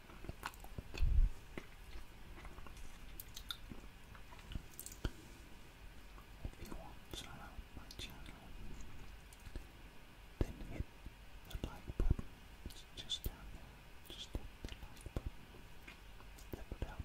If you want to help my channel, then hit the like button. just down there. Just hit the like button.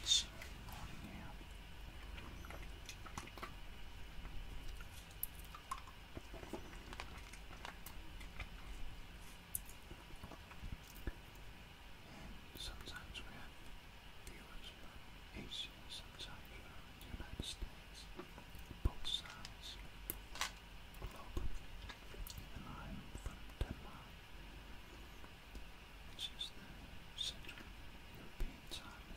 It's morning here. Sometimes we have viewers from Asia, sometimes from the United States, both sides the globe. Even I'm from Denmark, which is Central time.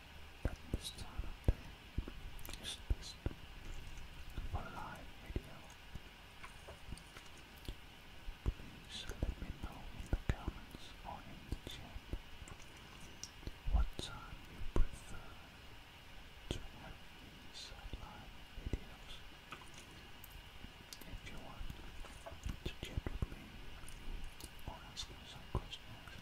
But this time of day is for live video. Please let me know in the comments or in the chat what time you prefer to have these live videos. If you want to chat with me or ask some questions,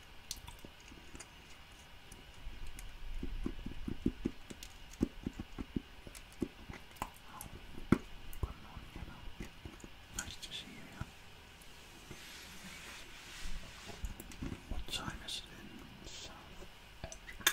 good morning, Emma. Nice to see you What time is it in South Africa?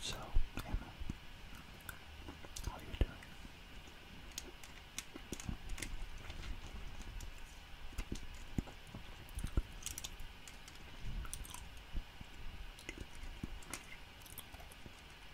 So, Emma, how are you doing?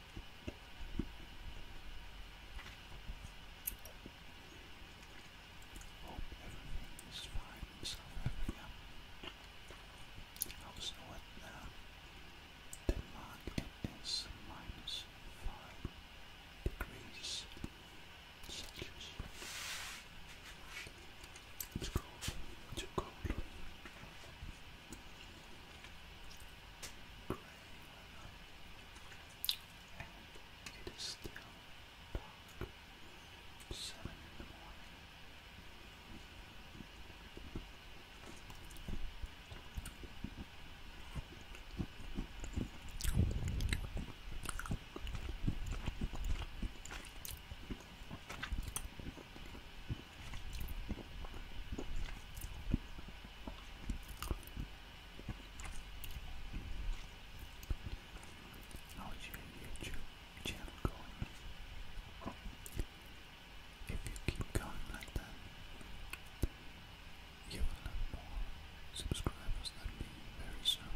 Hope everything is fine in South Africa. I was know what now. Denmark it is minus five degrees Celsius. It's cold, too cold and it is still dark. Seven in the morning. How is your YouTube channel going? If you keep going like that, you will have more subscribers than me very soon.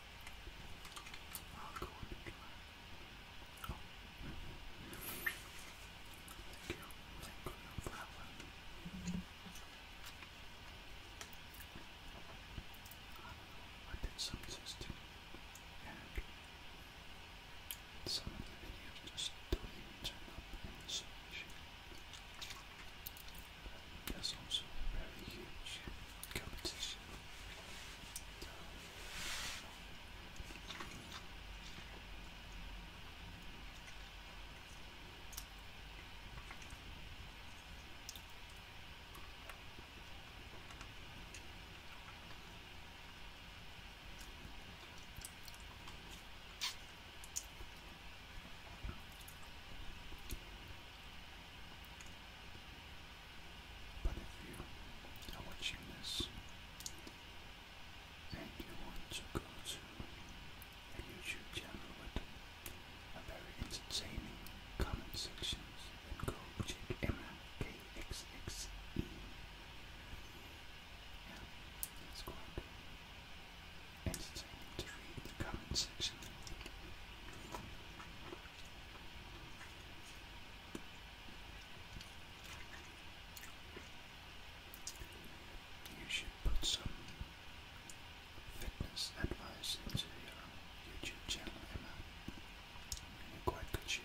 I'll go on the oh. Thank you. Thank you for I did some testing some of the videos just don't turn up in the search. There's also a very huge competition. But if you know what miss and you want to go to a YouTube channel with a very entertaining comment sections, then go check Emma KXXE. Yeah, that's the comment section. You should put some fitness advice into your YouTube channel, Emma. You're quite good shape.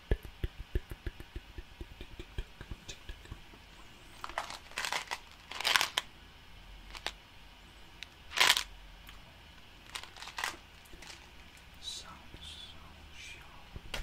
Sounds so sharp.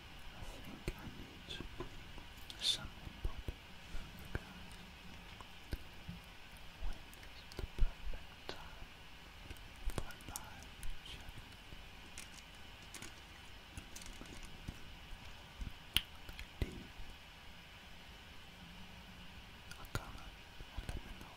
I think I need some input from you guys. When is the perfect time for live chatting? Leave a comment let me know.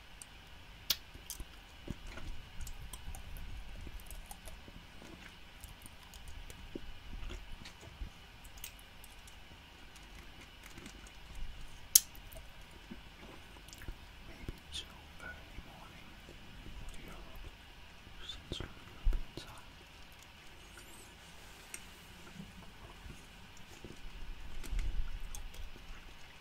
Maybe till early morning for Europe, Central European time.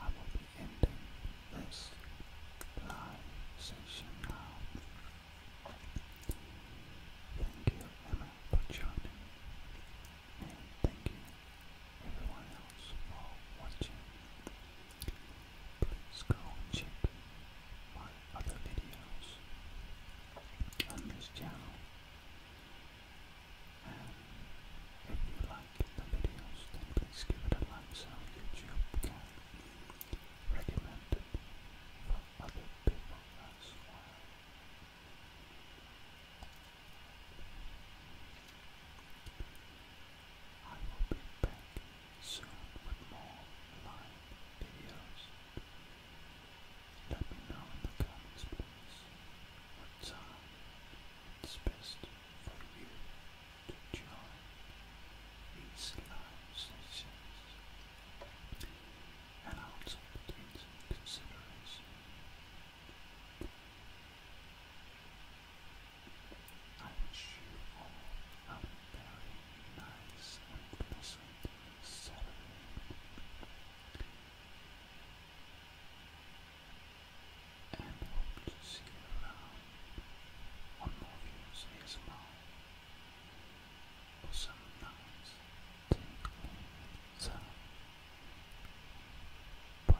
I will be ending this live session now. Thank you, Emma, for joining, and thank you, everyone else, for watching. Please go my other videos on this channel. Um, if you like the videos, please give it a like so YouTube can recommend it for other people I will be back soon with more live videos. Let me know in the comments, please what time it's best for you to join these live sessions and also put into I wish all a very nice and pleasant Saturday and hope to see you around on more views ASMR or some nice Bye.